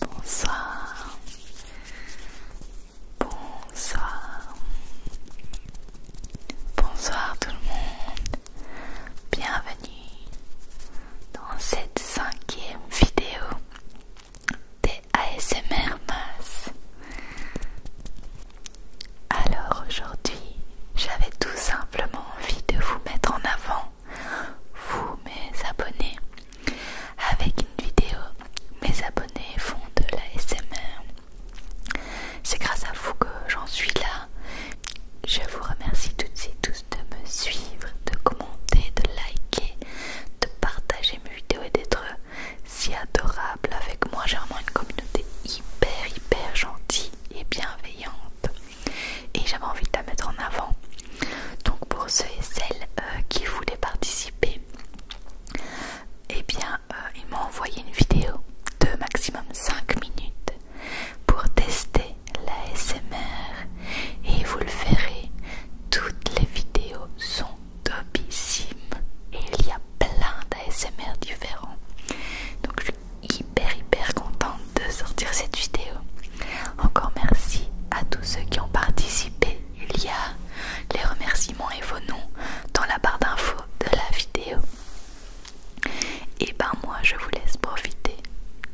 Bonsoir. Bonsoir. Bonsoir tout le monde. Bienvenue dans cette cinquième vidéo des ASMR Mass. Alors aujourd'hui, j'avais tout simplement envie de vous mettre en avant, vous mes abonnés, avec une vidéo. Mes abonnés font de l'ASMR. C'est grâce à vous que j'en suis là je vous remercie toutes et tous de me suivre, de commenter, de liker, de partager mes vidéos et d'être si adorable avec moi. J'ai vraiment une communauté hyper, hyper gentille et bienveillante. Et j'avais envie de la mettre en avant. Donc pour ceux et celles euh, qui voulaient participer, Et eh bien, euh, ils m'ont envoyé une vidéo de maximum 5 minutes pour tester la SMR et vous le verrez, toutes les vidéos sont topissimes et il y a plein d'ASMR différents. Donc je suis hyper hyper contente de sortir cette vidéo. Encore merci à tous ceux qui ont participé. Il y a les remerciements et vos noms dans la barre d'infos de la vidéo. Et ben moi je vous laisse profiter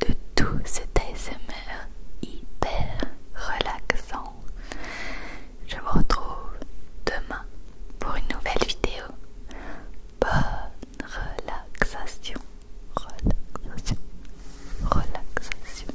de tout cet ASMR hyper relaxant. Je vous retrouve demain pour une nouvelle vidéo. Bonne relaxation, relaxation, relaxation.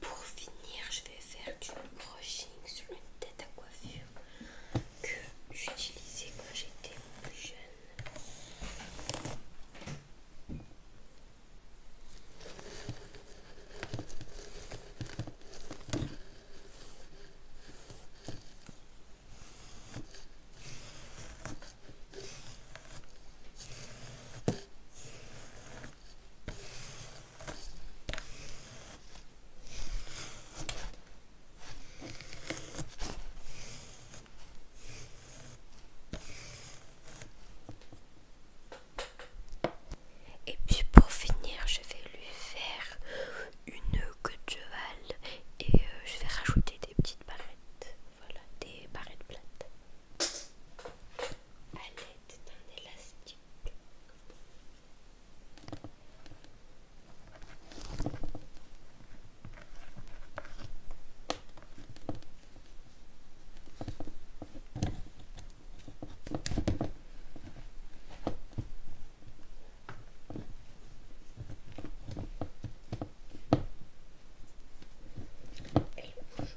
Pour finir, je vais faire du brushing sur une tête à coiffure que j'utilisais quand j'étais plus jeune. Et puis pour finir, je vais lui faire une queue de cheval et euh, je vais rajouter des petites barrettes, voilà, des barrettes plates à l'aide d'un élastique.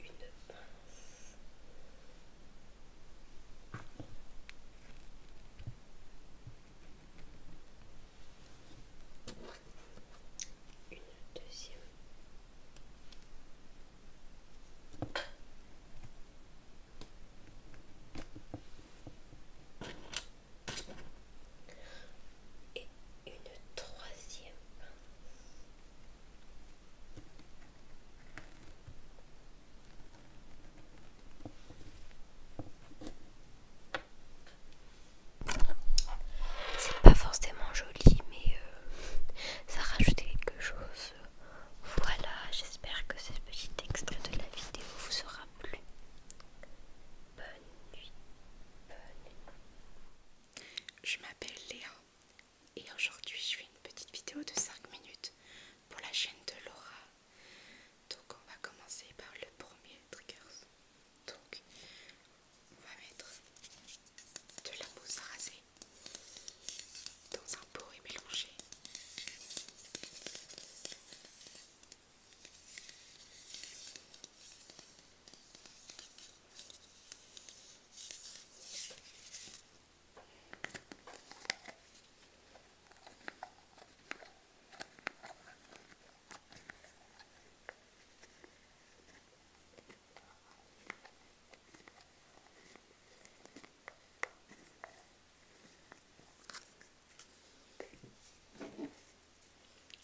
une pince. Une deuxième. Et une troisième c'est pas forcément joli, mais euh, ça rajoute quelque chose. Voilà, j'espère que ce petit extrait de la vidéo vous aura plu. Bonne nuit. Bonne nuit. Je m'appelle Léa et aujourd'hui je fais une petite vidéo de 5 minutes pour la chaîne de Laura. Donc on va commencer par le premier trigger. Donc on va mettre de la mousse rasée dans un pot et mélanger.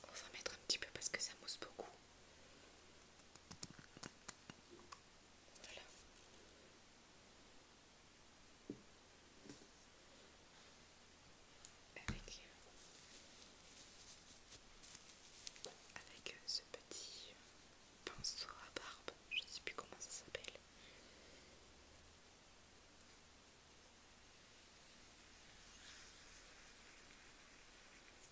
On va mettre un petit peu parce que ça mousse beaucoup avec euh, euh, ce petit pinceau à barbe, je ne sais plus comment ça s'appelle.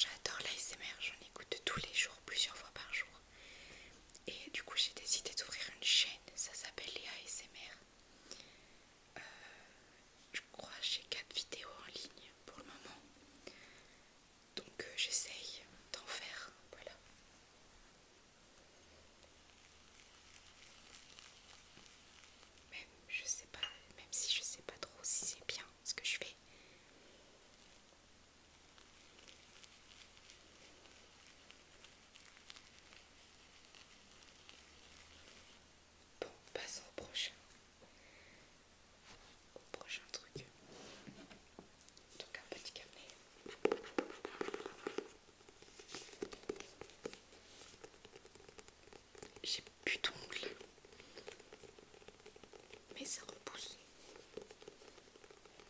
J'adore l'ASMR, j'en écoute tous les jours, plusieurs fois par jour. Et du coup, j'ai décidé d'ouvrir une chaîne, ça s'appelle les ASMR. Euh, je crois j'ai 4 vidéos en ligne pour le moment. Donc, euh, j'essaye d'en faire. Voilà. Même, je sais pas, même si je sais pas trop si c'est bien ce que je fais. Bon, passons au prochain. Au prochain truc. Donc un petit carnet. J'ai plus d'ongles. Mais c'est repoussé.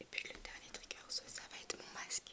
Et puis le dernier trigger, ça va être mon masque.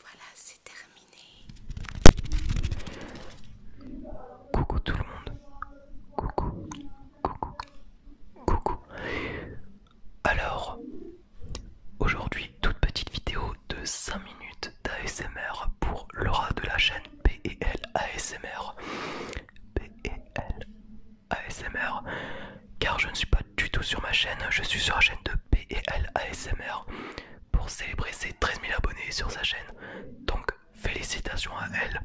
Voilà, c'est terminé. Coucou tout le monde. Coucou. Coucou. Coucou. Alors, Aujourd'hui, toute petite vidéo de 5 minutes d'ASMR pour Laura de la chaîne PEL ASMR. E Car je ne suis pas du tout sur ma chaîne, je suis sur la chaîne de PEL ASMR pour célébrer ses 13 000 abonnés sur sa chaîne. Donc félicitations à elle.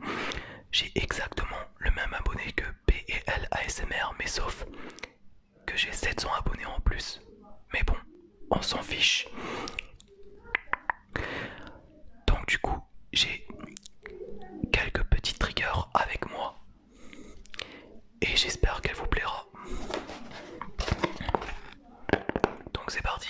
J'ai exactement le même abonné que PLASMR e ASMR, mais sauf que j'ai 700 abonnés en plus. Mais bon, on s'en fiche. Donc du coup, j'ai quelques petits triggers avec moi. Et j'espère qu'elle vous plaira. Donc c'est parti.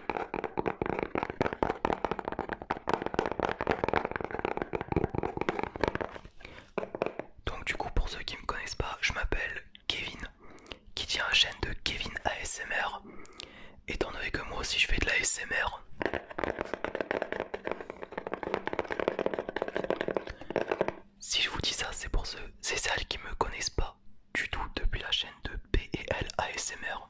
Donc du coup pour ceux qui me connaissent pas, je m'appelle Kevin, qui tient la chaîne de Kevin ASMR. Étant donné que moi aussi je fais de la l'ASMR, si je vous dis ça, c'est pour ceux, c'est celles qui me connaissent pas du tout depuis la chaîne de PL ASMR.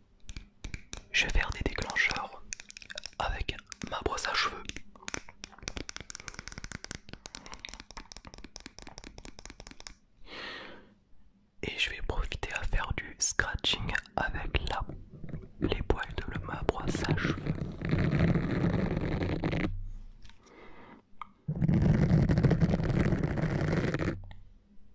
Je vais faire des déclencheurs avec ma brosse à cheveux. Et je vais profiter à faire du scratching avec la, les poils de ma brosse à cheveux.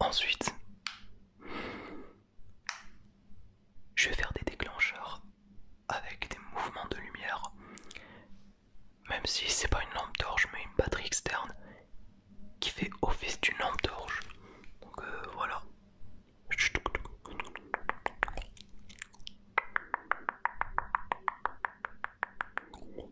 Ensuite, je vais faire des déclencheurs avec des mouvements de lumière. Même si c'est pas une lampe torche mais une batterie externe qui fait office d'une lampe torche. Donc euh, voilà.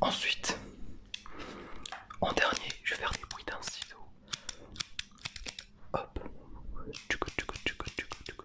Ensuite, en dernier, je vais faire des bruits d'un ciseau. Hop. Tchoukou, tchoukou, tchoukou, tchoukou, tchoukou.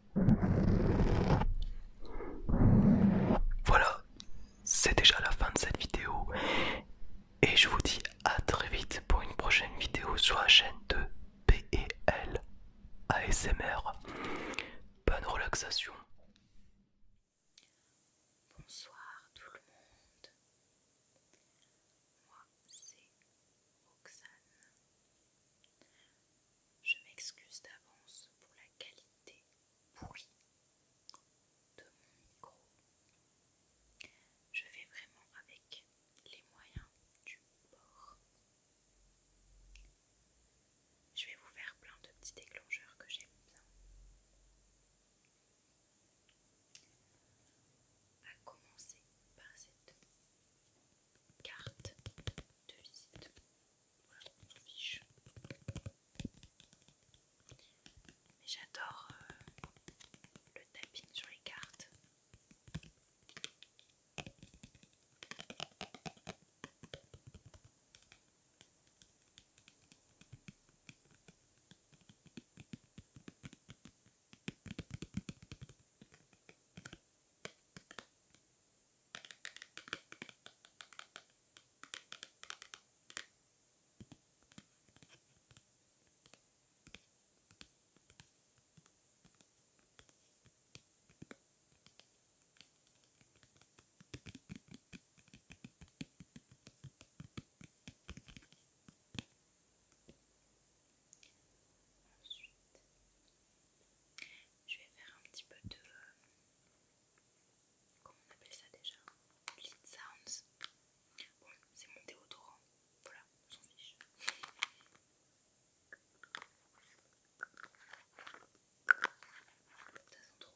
Voilà, c'est déjà la fin de cette vidéo. Et je vous dis à très vite pour une prochaine vidéo sur la chaîne de PEL ASMR. Bonne relaxation. Bonsoir tout le monde. Je m'excuse d'avance pour la qualité pourrie de mon micro. Je vais vraiment avec les moyens du bord. Je vais vous faire plein de petits déclencheurs que j'aime bien. A commencer par cette carte de visite. Mais j'adore euh, le tapping sur les cartes. Ensuite, je vais faire un petit peu de, euh, comment on appelle ça déjà Lead Sounds. Bon, c'est mon déodorant. Voilà, on s'en fiche. Ça trop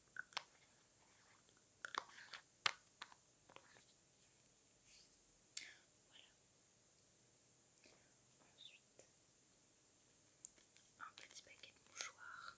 Ensuite, un petit paquet de mouchoirs.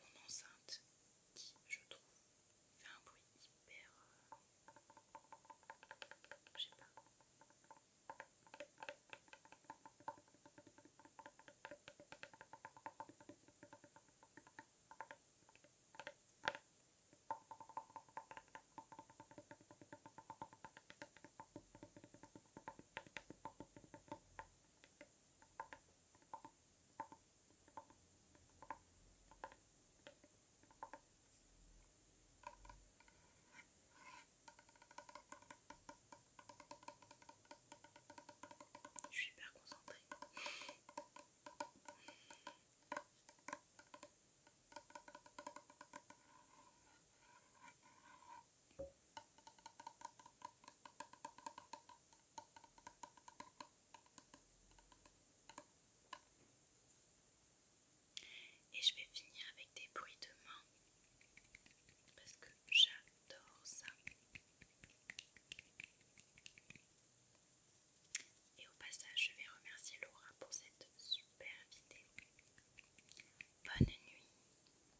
mon enceinte qui, je trouve, fait un bruit hyper. Euh, je sais pas. Je suis hyper concentrée. Et je vais finir avec des bruits de main parce que j'adore ça. Et au passage, je vais remercier Laura pour cette super vidéo. Bonne nuit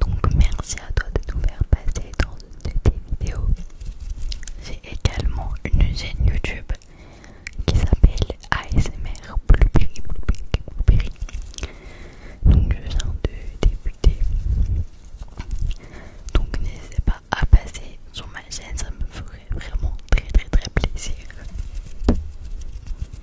Donc merci à toi de nous faire passer dans une de tes vidéos. J'ai également une chaîne YouTube qui s'appelle ASMR Blueberry Blueberry Donc je viens de débuter. Donc n'hésitez pas à passer sur ma chaîne, ça me ferait vraiment très très très plaisir.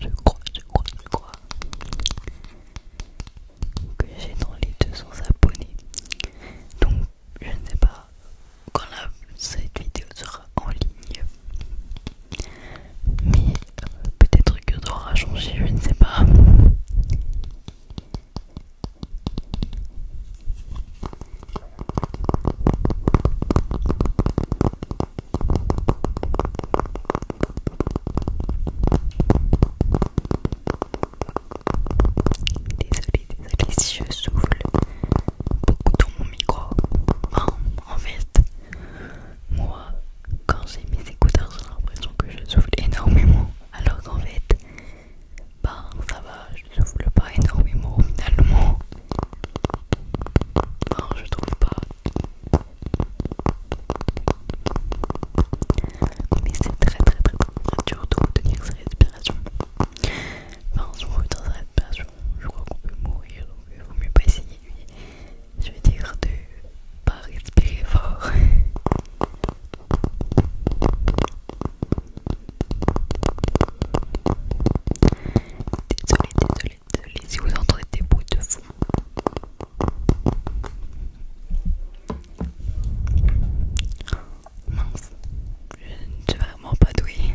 Je crois, je crois, je crois que j'ai dans les 200 abonnés. Donc, je ne sais pas quand cette vidéo sera en ligne. Mais euh, peut-être que ça aura changé, je ne sais pas. Désolée, désolée si je souffle beaucoup dans mon micro. en fait, moi, quand j'ai mes écouteurs, j'ai l'impression que je souffle énormément. Alors qu'en fait, bah, ça va, je ne souffle pas énormément finalement. Non, bah, je trouve pas. Mais c'est très très très très dur de retenir sa respiration. Enfin, si on dans sa respiration, je crois qu'on peut mourir, donc il vaut mieux pas essayer. Je vais dire de pas respirer fort. Désolée, désolée, désolée si vous entendez des bouts de fond. Mince, je ne suis vraiment pas douée.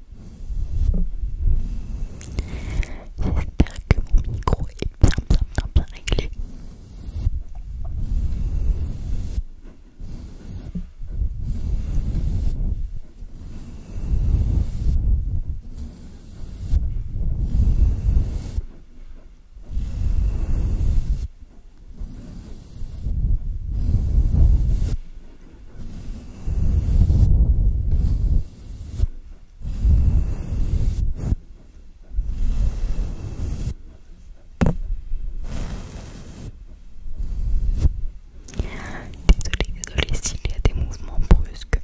J'espère que mon micro est bien bien bien bien réglé. Désolée, désolée s'il y a des mouvements brusques,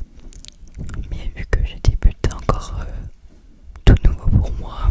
mais vu que je débute encore euh, tout nouveau pour moi.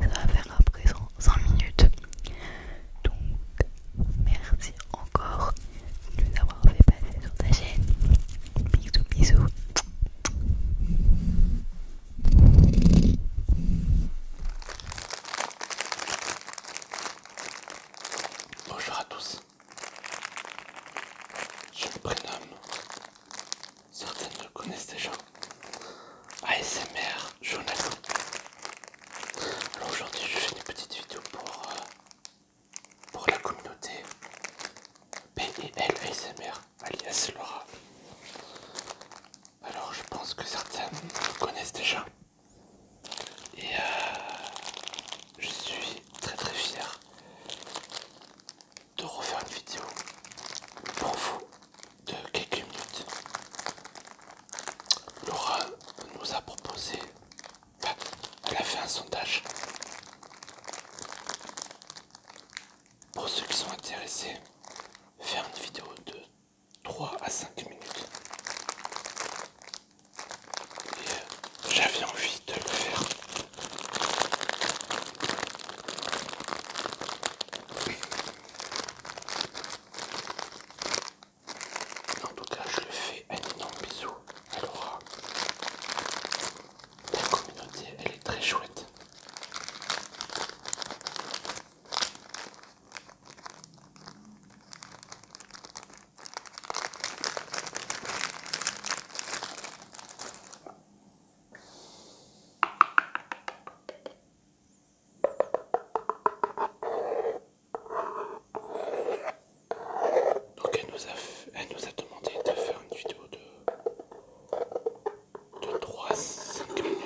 ça va faire à présent 5 minutes. Donc, merci encore de nous avoir fait passer sur ta chaîne. Bisous, bisous. Bonjour à tous. Je me prénomme. Certaines le connaissent déjà. ASMR Jonathan. Alors aujourd'hui je fais une petite vidéo pour, euh, la communauté PIL e ASMR alias Laura. Alors je pense que certains me connaissent déjà. Et euh, je suis très très fier de refaire une vidéo pour vous de quelques minutes, Laura nous a proposé, elle a fait un sondage pour ceux qui sont intéressés, faire une vidéo de 3 à 5 minutes. Et euh, j'avais envie de le faire. En tout cas, je le fais un énorme bisou à Laura. La communauté, elle est très chouette. Donc elle nous, a demandé de faire une vidéo de, 3 5 minutes.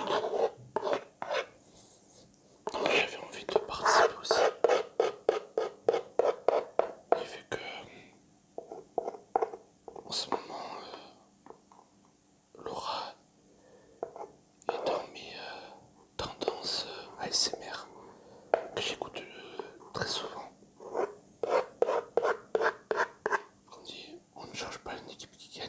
Donc j'avais envie de participer aussi. Et vu que en ce moment euh, Laura est dans mes tendances ASMR que j'écoute euh, très souvent. On dit on ne change pas une équipe qui gagne.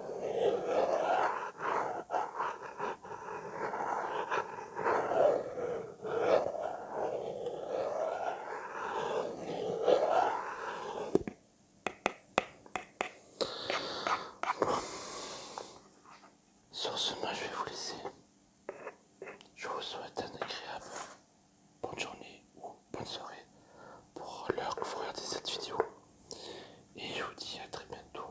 Sur ce, moi je vais vous laisser. Je vous souhaite un agréable bonne journée ou bonne soirée pour l'heure que vous regardez cette vidéo. Et je vous dis à très bientôt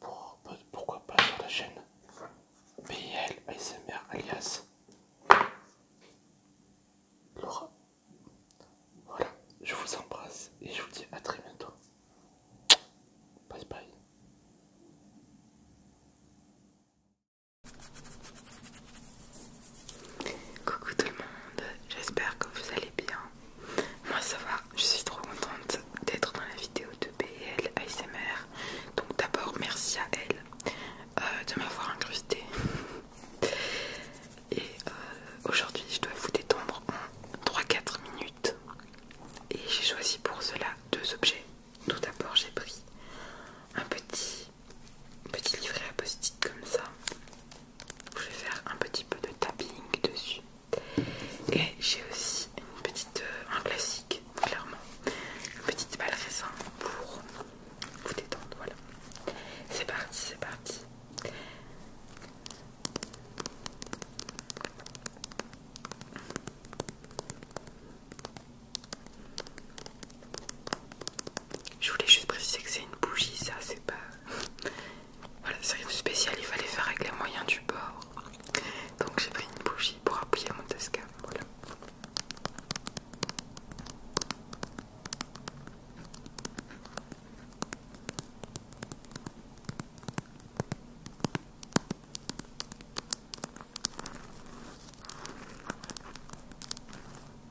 pour pourquoi pas sur la chaîne BL ASMR alias Laura. Voilà, je vous embrasse et je vous dis à très bientôt. Bye bye. Coucou tout le monde, j'espère que vous allez bien. Moi ça va, je suis trop contente d'être dans la vidéo de BL ASMR. Donc d'abord merci à elle euh, de m'avoir incrustée. Et euh, aujourd'hui je dois vous détendre en 3-4 minutes. Et j'ai choisi pour cela deux objets. Tout d'abord j'ai pris un petit, petit livret à comme ça je vais faire un petit peu de tapping dessus. Et j'ai aussi une petite, euh, un classique, clairement, une petite balle raisin pour vous détendre. Voilà, c'est parti, c'est parti. Je voulais juste préciser que c'est une bougie, ça c'est pas voilà, c'est rien de spécial, il fallait faire avec les moyens du bord. Donc j'ai pris une bougie pour appuyer mon tascam. Voilà.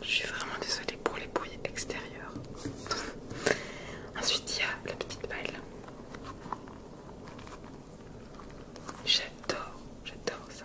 Je suis vraiment désolée pour les bruits extérieurs. Ensuite, il y a la petite balle. J'adore, j'adore ça.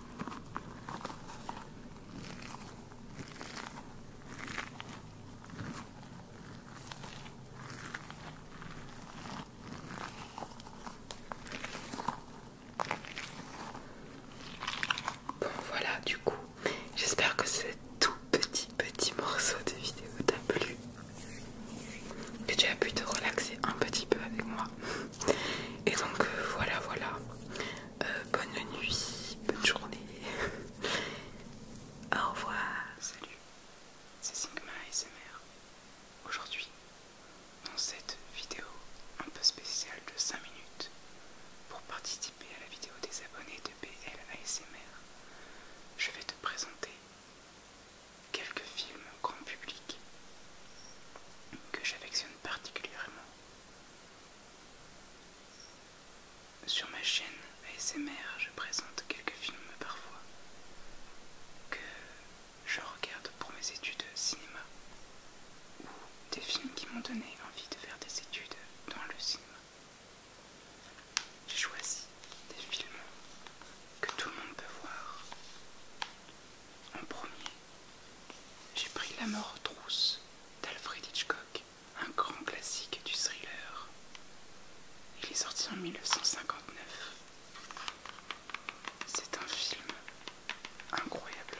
Bon voilà du coup, j'espère que ce tout petit petit morceau de vidéo t'a plu, que tu as pu te relaxer un petit peu avec moi. Et donc euh, voilà, voilà. Euh, bonne nuit, bonne journée. Au revoir. Salut, c'est Sigma ASMR. Aujourd'hui, dans cette vidéo un peu spéciale de 5 minutes, pour participer à la vidéo des abonnés de BL ASMR, je vais te présenter quelques films grand public que j'affectionne particulièrement. Sur ma chaîne ASMR, je présente quelques films parfois que je regarde pour mes études cinéma ou des films qui m'ont donné envie de faire des études dans le cinéma. J'ai choisi des films que tout le monde peut voir en premier j'ai pris La mort aux trousses d'Alfred Hitchcock, un grand classique du thriller. Il est sorti en 1959. C'est un film incroyable.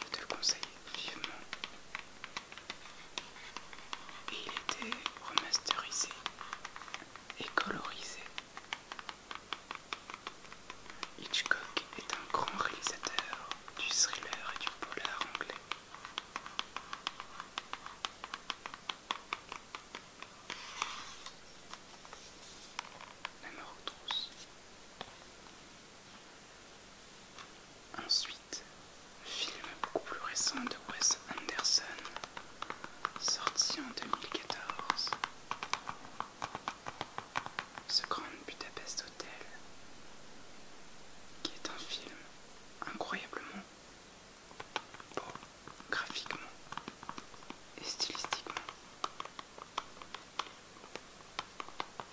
Je te le conseille vivement. Et il était remasterisé et colorisé Hitchcock est un grand réalisateur du thriller et du polar anglais. La mort Ensuite, film beaucoup plus récent de Wes Anderson, sorti en 2014. Ce Grand Budapest Hotel, qui est un film incroyablement beau graphiquement et stylistiquement.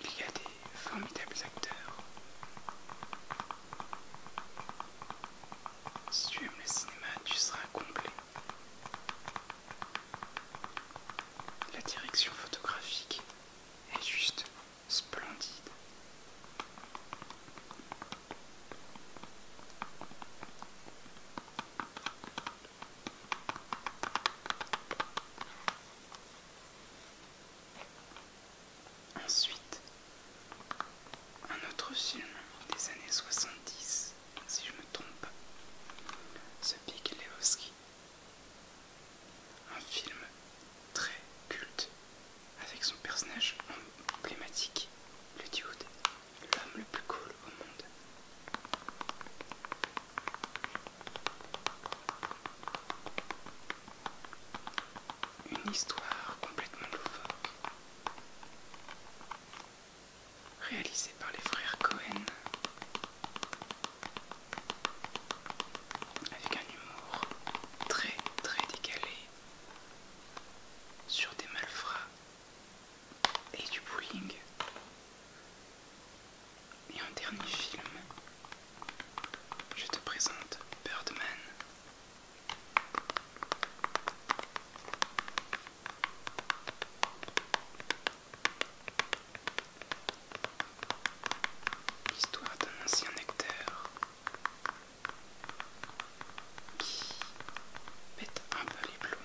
Il y a des formidables acteurs. Si tu aimes le cinéma, tu seras complet. La direction photographique est juste splendide. Ensuite, un autre film des années 70 si je me trompe, ce Big Lewski Un film très culte avec son personnage emblématique, le dude, l'homme le plus cool au monde. Une histoire complètement loufoque réalisé par les frères Cohen, avec un humour très très décalé sur des malfrats et du bullying. Et en dernier film, je te présente Birdman. L'histoire d'un ancien acteur qui un peu les plombs.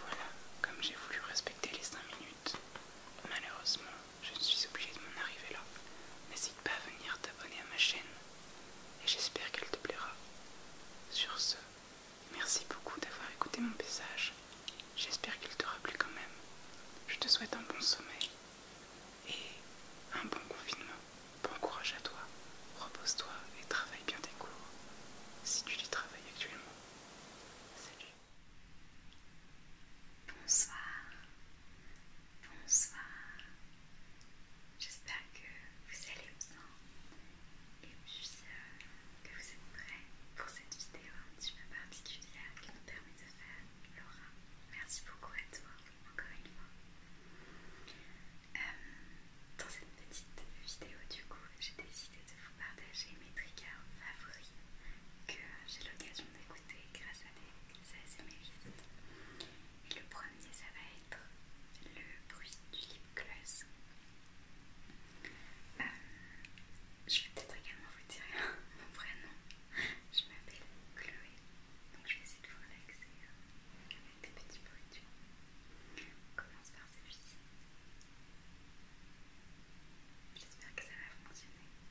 Voilà, comme j'ai voulu respecter les cinq minutes. Malheureusement, je suis obligée de m'en arriver là. N'hésite pas à venir t'abonner à ma chaîne et j'espère qu'elle te plaira. Sur ce, merci beaucoup d'avoir écouté mon message. J'espère qu'il t'aura plu quand même. Je te souhaite un bon sommeil et un bon confinement. Bon courage à toi. Repose-toi et travaille bien tes cours si tu les travailles actuellement. Salut. Bonsoir, bonsoir. J'espère que vous allez bien et euh, que vous êtes prêts pour cette vidéo un petit peu particulière qui nous permet de faire Laura. Merci beaucoup à toi encore une fois. Euh, dans cette petite vidéo du coup, j'ai décidé de vous partager mes triggers favoris que j'ai l'occasion d'écouter grâce à des asmérites. Et le premier, ça va être le bruit du lip gloss. Euh, je vais peut-être également vous dire mon vrai nom. Je m'appelle Chloé, donc je vais essayer de vous relaxer hein, avec des petits bruits. Du... On commence par celui-ci. J'espère que ça va fonctionner.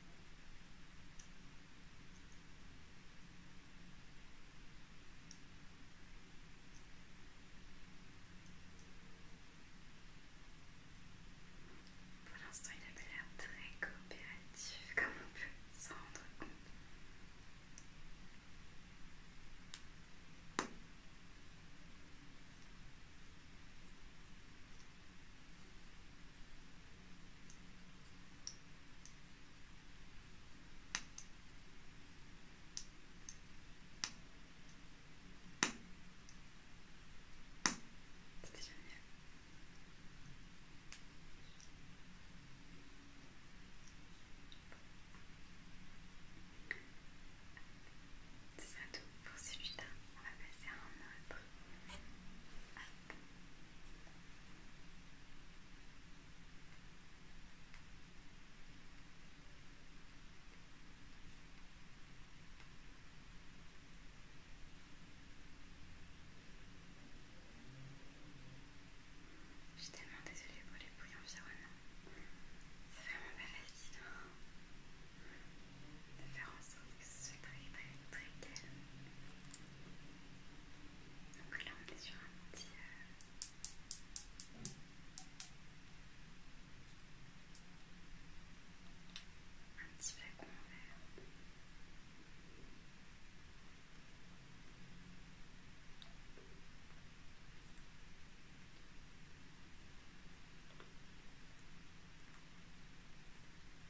Pour l'instant, il avait l'air très coopératif, comme on peut s'en rendre compte. C'était génial. C'est ça tout pour celui-là. On va passer à un autre. Je suis tellement désolée pour les bruits environnants. C'est vraiment pas facile de faire en sorte que ce très très très calme. Donc là on est sur un petit... Euh, un petit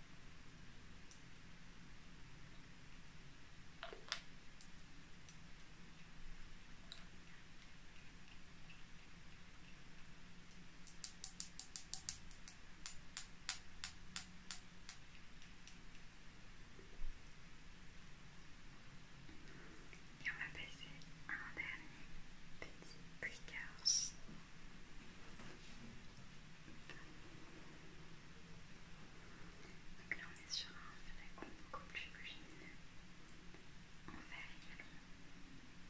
et on va passer à un dernier petit trigger donc là on est sur un flacon beaucoup plus volumineux en verre également. Voilà,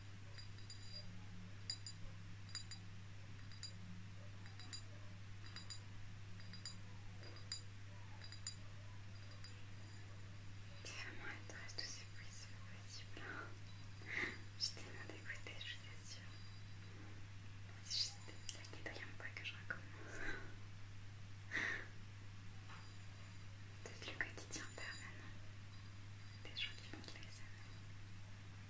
Tes elle trace tous ces c'est pas possible. J'étais bien dégoûtée, je suis sûre. C'est juste la quatrième fois que je recommence. C'est le quotidien permanent des gens qui font de la je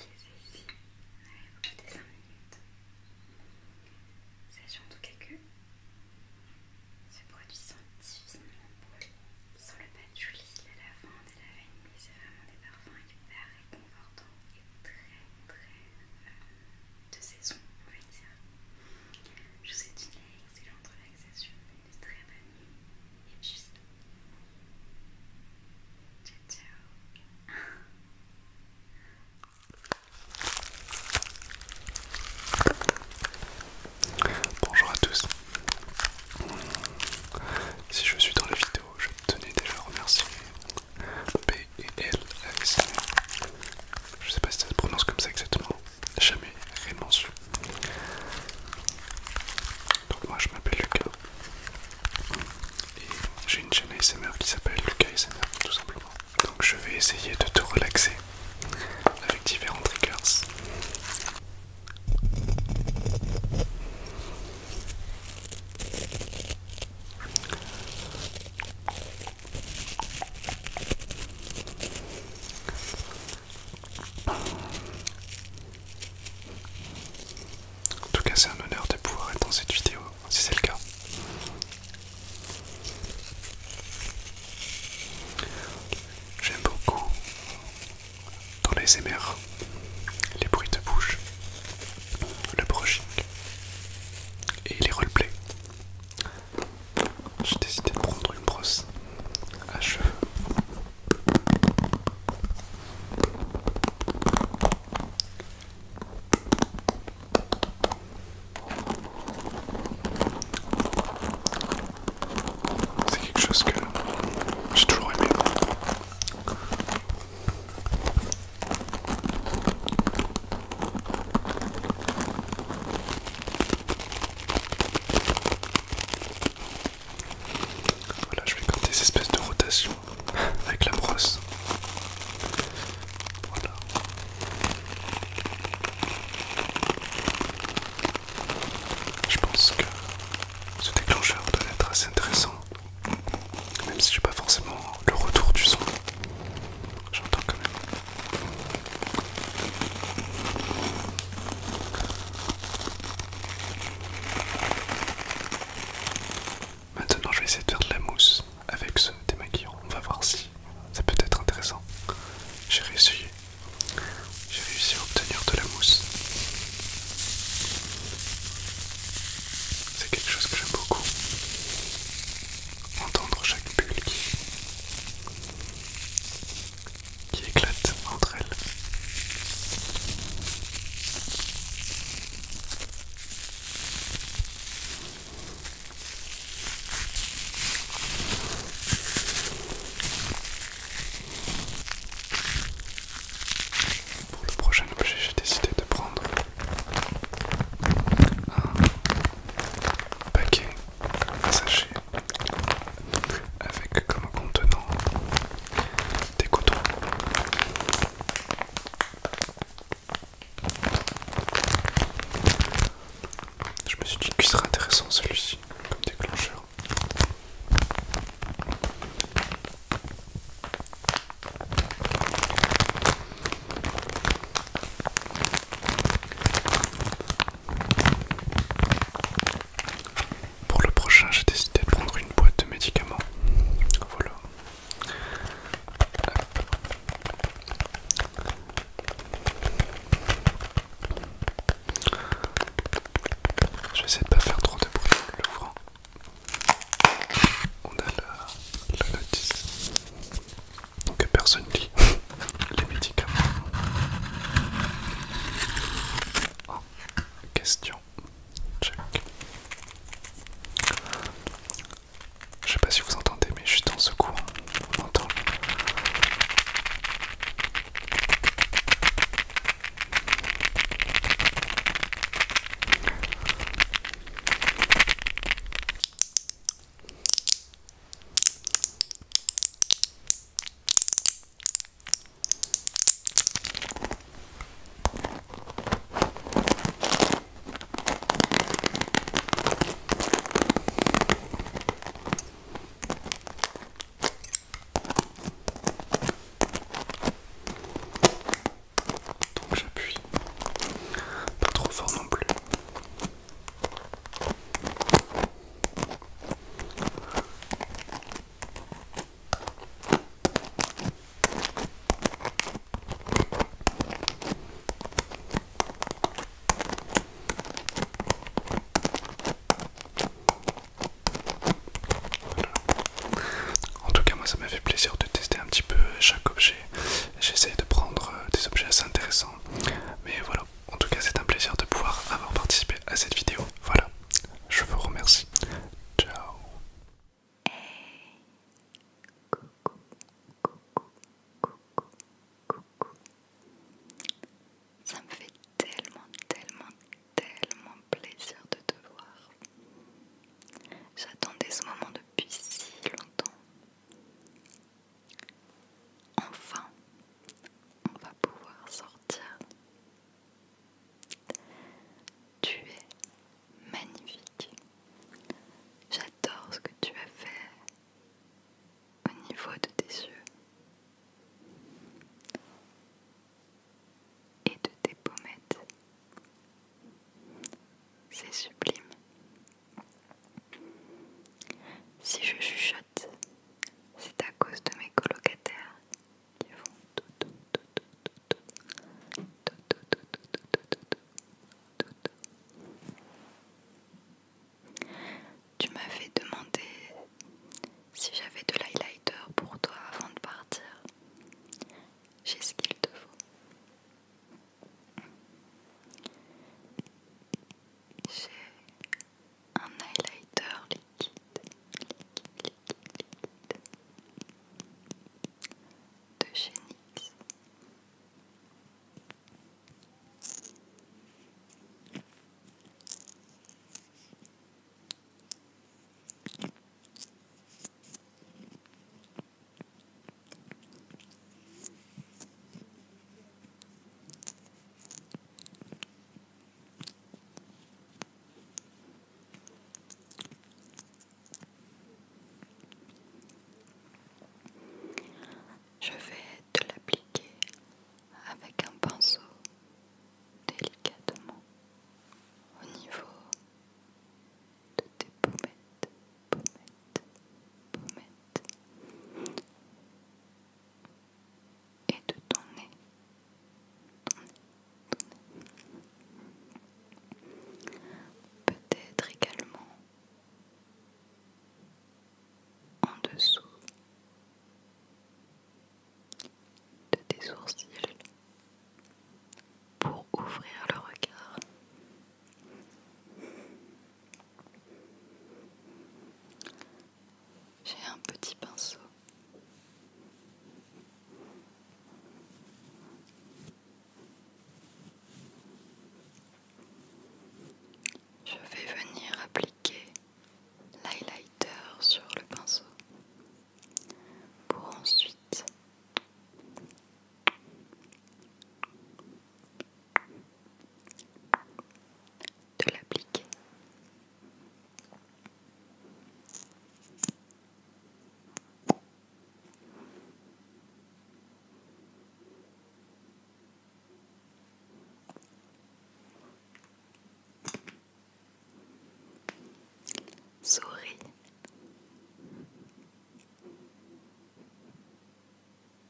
les ai ici, on arrive 5 minutes. Sachez en tout cas que ce produit sent divinement bon, sans le patchouli, la lavande et la vanille, c'est vraiment des parfums hyper réconfortants et très très euh, de saison, on va dire. Je vous souhaite une excellente relaxation, une très bonne nuit, et juste ciao ciao Bonjour à tous. Si je suis dans la vidéo, je tenais déjà à remercier B et L Je sais pas si ça se prononce comme ça exactement, jamais réellement su. Donc moi je m'appelle Lucas et j'ai une chaîne ASMR qui s'appelle Lucas ASMR tout simplement. Donc je vais essayer de te relaxer avec différents triggers. En tout cas, c'est un honneur de pouvoir être dans cette vidéo, si c'est le cas. J'aime beaucoup dans les MR les bruits de bouche, le brushing et les roleplays j'ai décidé de prendre une brosse à cheveux. C'est quelque chose que j'ai toujours aimé. Voilà, je vais faire des espèces de rotations avec la brosse. Voilà. Je pense que ce déclencheur doit être assez intéressant, même si je n'ai pas forcément le retour du son. J'entends quand même. Maintenant, je vais essayer de faire de la mousse avec ce démaquillant. On va voir si ça peut être intéressant. J'ai réussi. J'ai réussi à obtenir de la mousse. C'est quelque chose que j'aime beaucoup entendre chaque bulle qui, qui éclate entre elles. Pour le prochain objet, j'ai décidé de prendre un paquet, un sachet avec comme contenant des cotons. Je me suis dit que ce serait intéressant celui-ci comme déclencheur. Pour le prochain, j'ai décidé de prendre une boîte de médicaments. Voilà. Je vais essayer de pas faire trop de bruit l'ouvrant. On a la notice que personne lit les médicaments. Ah, question. Je sais pas si vous entendez, mais juste en secours, on entend. Donc j'appuie pas trop fort non plus. En tout cas moi ça m'a fait plaisir de tester un petit peu chaque objet J'essaye de prendre euh, des objets assez intéressants. Mais voilà, en tout cas c'est un plaisir de pouvoir avoir participé à cette vidéo. Voilà, je vous remercie. Ciao. Coucou, coucou, coucou, coucou. Ça me fait tellement, tellement, tellement plaisir de te voir. J'attendais ce moment depuis si longtemps. Enfin, on va pouvoir sortir. Tu es magnifique. J'adore ce que tu as fait au niveau de tes yeux et de tes pommettes. C'est sublime. Si je chuchote, c'est à cause de mes colocataires qui font tout Tu m'avais demandé si j'avais de l'highlighter pour toi avant de partir. J'ai ce qu'il te faut. J'ai un highlighter liquide, liquide de chez NYX. Je vais te l'appliquer avec un pinceau délicatement au niveau de tes pommettes, et de ton nez. Peut-être également en dessous de tes sourcils pour ouvrir le regard j'ai un petit pinceau. Je vais venir appliquer l'highlighter sur le pinceau pour ensuite de l'appliquer. Souris.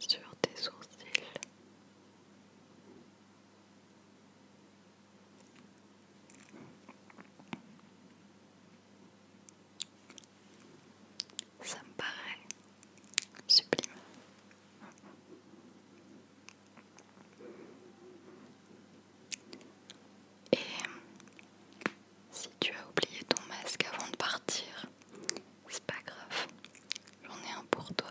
sur tes sourcils. Ça me paraît sublime. Et si tu as oublié ton masque avant de partir, c'est pas grave, j'en ai un pour toi.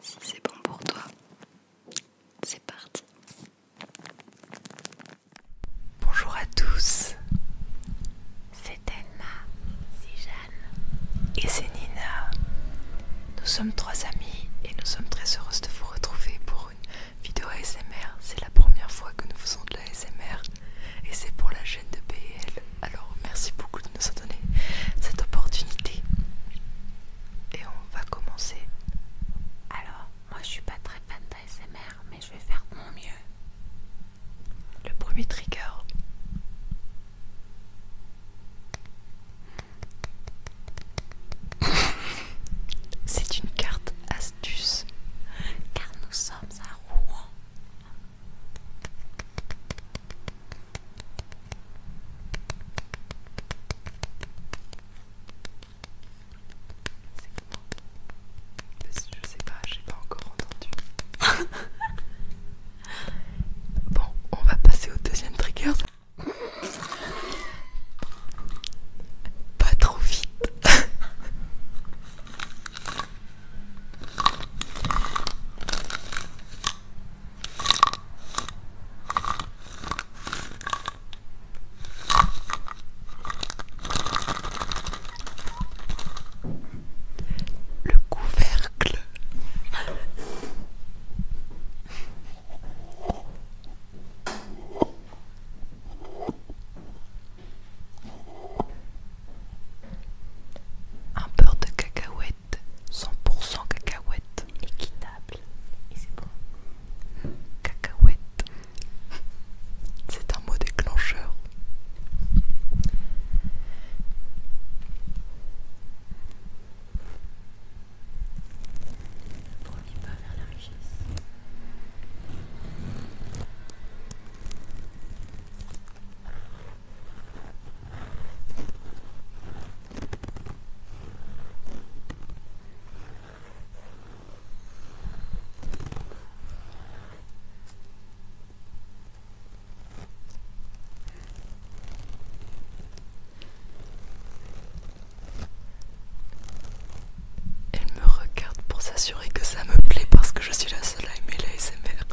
Si c'est bon pour toi, c'est parti. Bonjour à tous, c'est Emma, c'est Jeanne et c'est Nina. Nous sommes trois amis et nous sommes très heureuses de vous retrouver pour une vidéo ASMR. C'est la première fois que nous faisons de la et c'est pour la chaîne de BL. Alors merci beaucoup de nous donné cette opportunité. Et on va commencer. Alors, moi je suis pas très fan d'ASMR, mais je vais faire mon mieux. Le premier trigger. C'est une carte astuce. Car nous sommes à Rouen. Je sais pas, j'ai pas encore entendu. bon, on va passer au deuxième trigger. Pas trop vite. Le couvercle. Un beurre de cacahuète, 100% cacahuète. Équitable. Et c'est bon. Cacahuète. C'est un mot déclencheur. pas la elle me regarde pour s'assurer que ça me plaît parce que je suis la seule à aimer SMR.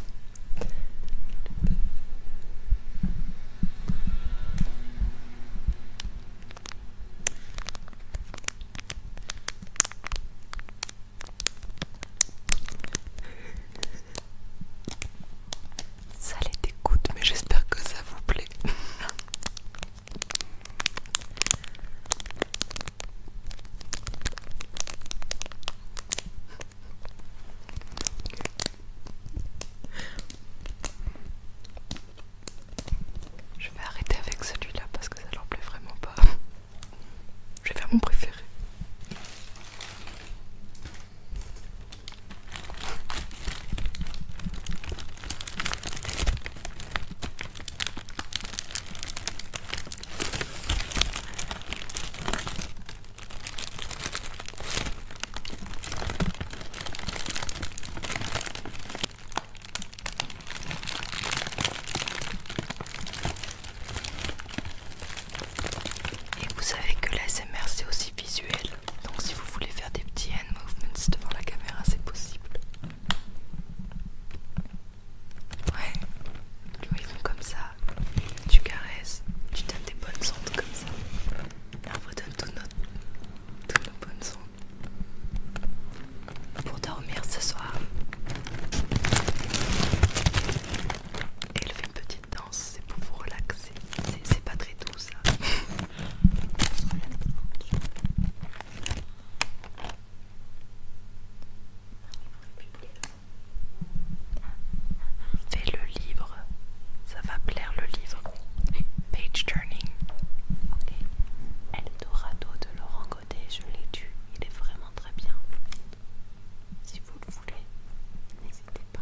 Ça les dégoûte, mais j'espère que ça vous plaît. Je vais arrêter avec celui-là parce que ça leur plaît vraiment pas. Je vais faire mon préféré. Et vous savez que l'ASMR c'est aussi visuel, donc si vous voulez faire des petits hand movements devant la caméra, c'est possible. Ouais, ils font comme ça. Tu caresses, tu donnes des bonnes ondes comme ça. on vous donne toutes nos, bonnes ondes pour dormir ce soir. Et elle fait une petite danse, c'est pour vous relaxer. C'est pas très doux ça. Fais le livre, ça va plaire le livre. Page turning. Ok. Dorado de Laurent Godet, je l'ai tué, il est vraiment très bien. Si vous le voulez, n'hésitez pas.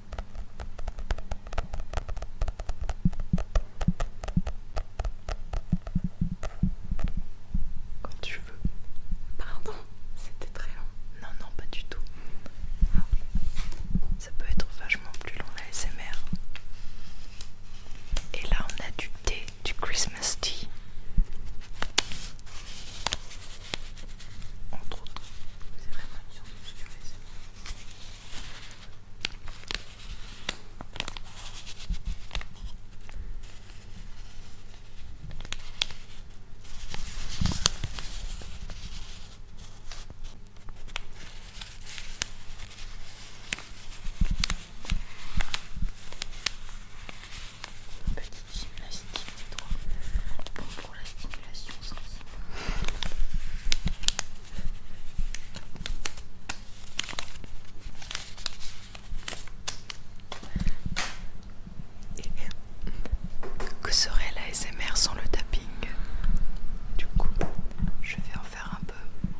Quand tu veux. Pardon, c'était très long. Non, non, pas du tout. Ça peut être vachement plus long la SMR. Et là, on a du thé, du Christmas tea entre autres. C'est vraiment une surprise du récent. Petit gymnastique des bon pour la stimulation sensible. Que serait la SMR sans le tapping Du coup, je vais en faire un peu.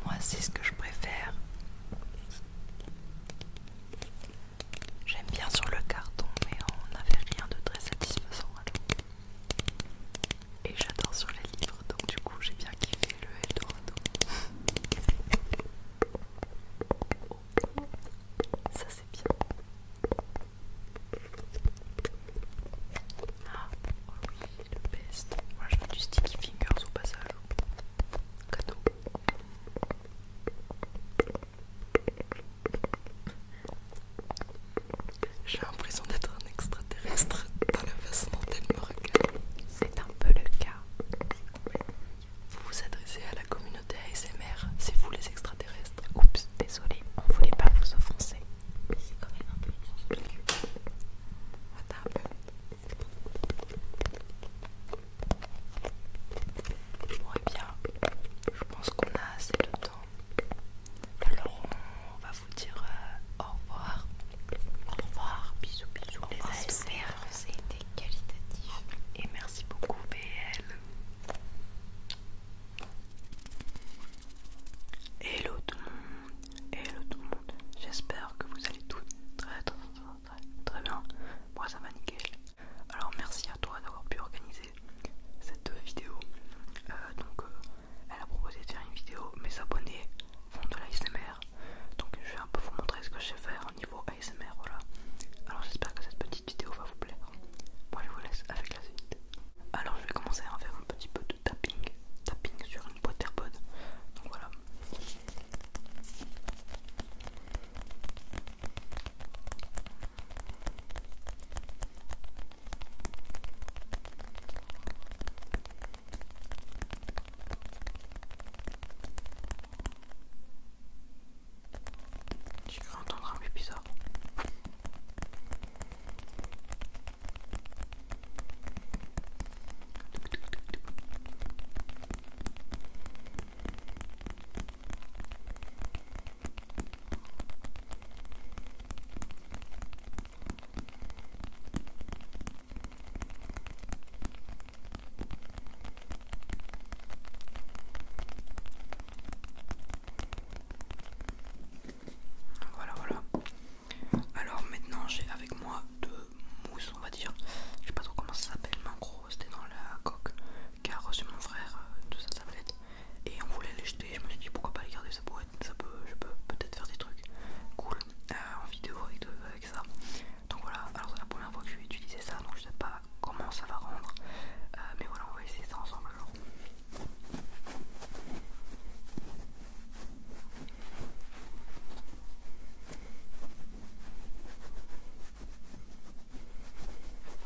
Moi, c'est ce que je préfère. J'aime bien sur le carton, mais on n'avait rien de très satisfaisant. Et j'adore sur les livres, donc du coup j'ai bien kiffé le Eldorado. Ça c'est bien. Ah, oh oui, le best. Moi je mets du sticky fingers au passage. Cadeau. J'ai l'impression d'être un extraterrestre dans la façon dont elle me regarde. C'est un peu le cas. Vous vous adressez à la communauté ASMR, c'est vous les extraterrestres. Oups, désolé, on voulait pas vous offenser. Mais c'est quand même un peu Attends. Bon, et eh bien, je pense qu'on a assez de alors on va vous dire euh, au revoir. Au revoir, bisous, bisous. Au revoir, les super, c'était qualitatif. Et merci beaucoup, BL. Hello tout le monde, hello tout le monde. J'espère que vous allez toutes très très très très, bien. Moi ça va nickel. Alors merci à toi d'avoir pu organiser cette vidéo. Euh, donc, euh, elle a proposé de faire une vidéo. Mes abonnés font de l'ASMR. Donc, je vais un peu vous montrer ce que je sais faire au niveau ASMR. Voilà. Alors, j'espère que cette petite vidéo va vous plaire. Moi, je vous laisse avec la suite. Alors, je vais commencer à faire un petit peu de tapping. Tapping sur une boîte AirPod. Donc, voilà. J'ai cru entendre un bruit bizarre. Voilà, voilà. Alors maintenant j'ai avec moi deux mousses, on va dire. Je sais pas trop comment ça s'appelle, mais en gros c'était dans la coque car reçu mon frère euh, de sa tablette et on voulait les jeter. Je me suis dit pourquoi pas les garder, ça peut être, je peux peut-être faire des trucs cool euh, en vidéo avec, ça. Donc voilà, alors c'est la première fois que je vais utiliser ça, donc je sais pas comment ça va rendre, euh, mais voilà, on va essayer ça ensemble alors.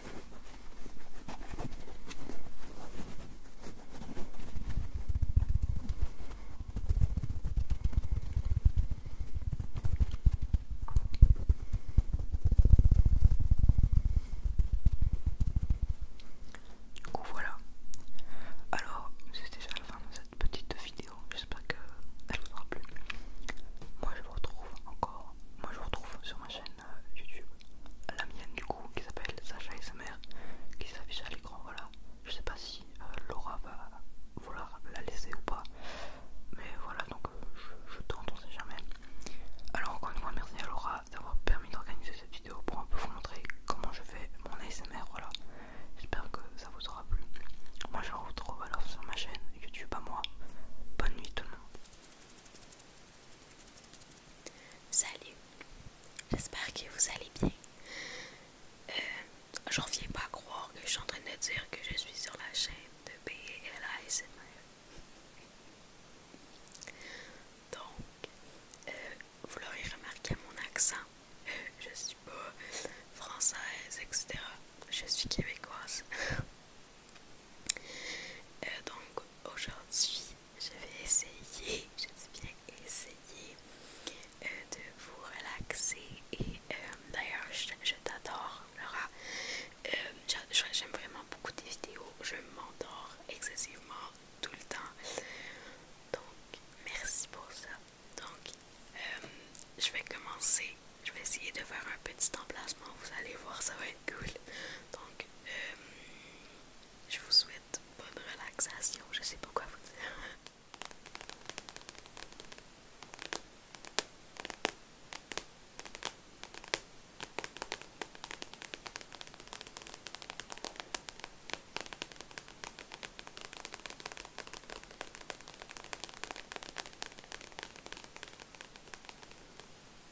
Du voilà. Alors c'est déjà la fin de cette petite vidéo. J'espère qu'elle vous aura plu. Moi je vous retrouve encore. Moi je vous retrouve sur ma chaîne euh, YouTube, la mienne du coup, qui s'appelle Sacha mère, qui s'affiche à l'écran. Voilà, je sais pas si euh, Laura va vouloir la laisser ou pas, mais voilà, donc euh, je, tente, on sait jamais. Alors, encore une fois, merci à Laura d'avoir permis d'organiser cette vidéo pour un peu vous montrer comment je fais mon ASMR. Voilà, j'espère que ça vous aura plu. Moi, je vous retrouve alors sur ma chaîne YouTube à moi. Bonne nuit, tout le monde. Salut, j'espère que vous allez bien. Je euh, J'en viens pas à croire que je suis en train de dire que je suis sur la chaîne de B.L.A.S.M.L. Donc, euh, vous l'aurez remarqué mon accent, euh, je suis pas française, etc. Je suis québécoise. donc, aujourd'hui, je vais essayer, je dis bien essayer euh, de vous relaxer. Et euh, d'ailleurs, je, t'adore, Laura. Euh, j'aime vraiment beaucoup tes vidéos. Je m'endors excessivement tout le temps. Donc, merci pour ça. Donc, je vais commencer. Je vais essayer de faire un petit emplacement. Vous allez voir, ça va être cool. Donc, euh, je vous souhaite bonne relaxation, je sais pas quoi vous dire.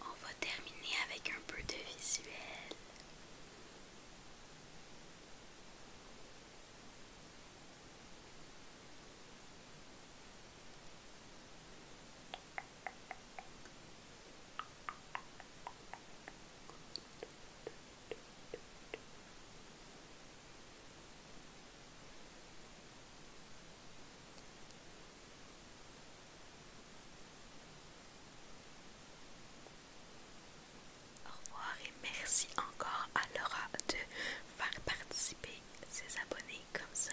On va terminer avec un peu de visuel. Au revoir et merci encore à Laura de faire participer ses abonnés comme ça.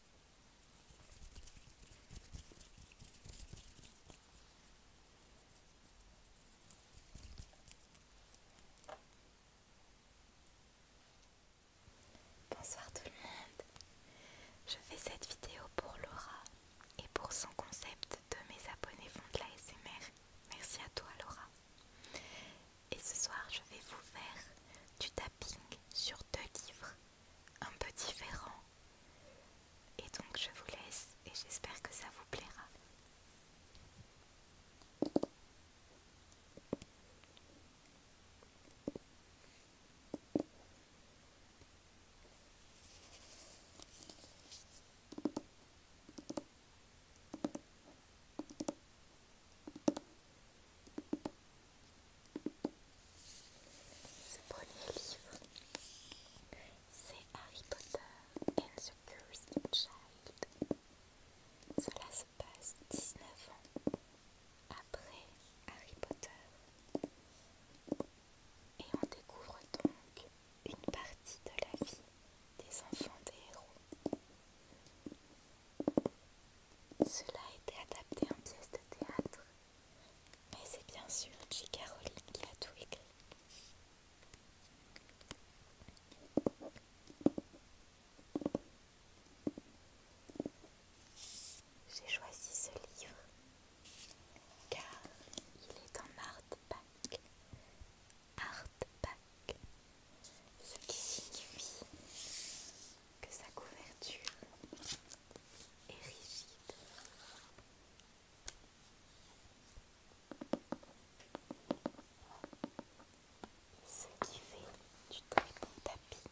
Bonsoir tout le monde. Je fais cette vidéo pour Laura et pour son concept de mes abonnés font de la SMR. Merci à toi Laura. Et ce soir, je vais vous faire du tapping sur deux livres un peu différent. Et donc je vous laisse et j'espère que ça vous plaira. Ce premier livre, c'est Harry Potter and the Cursed Child. Cela se passe 19 ans après Harry Potter. Et on découvre donc une partie de la vie des enfants des héros. Cela a été adapté en pièce de théâtre mais c'est bien sûr J. Caroline qui a tout écrit. J'ai choisi ce livre car il est en art Hardback, ce qui signifie que sa couverture et rigide. Ce qui fait du très bon tapping.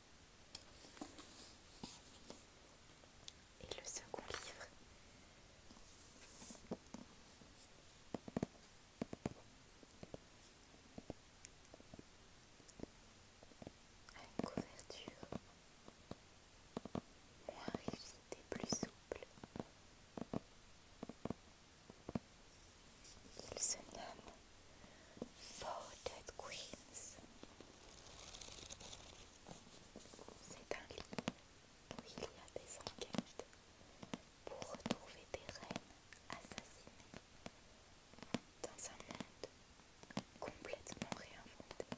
Et le second livre a une couverture moins rigide plus souple. Il se nomme Dead Queens. C'est un livre où il y a des enquêtes pour retrouver des reines assassinées dans un monde complètement réinventé.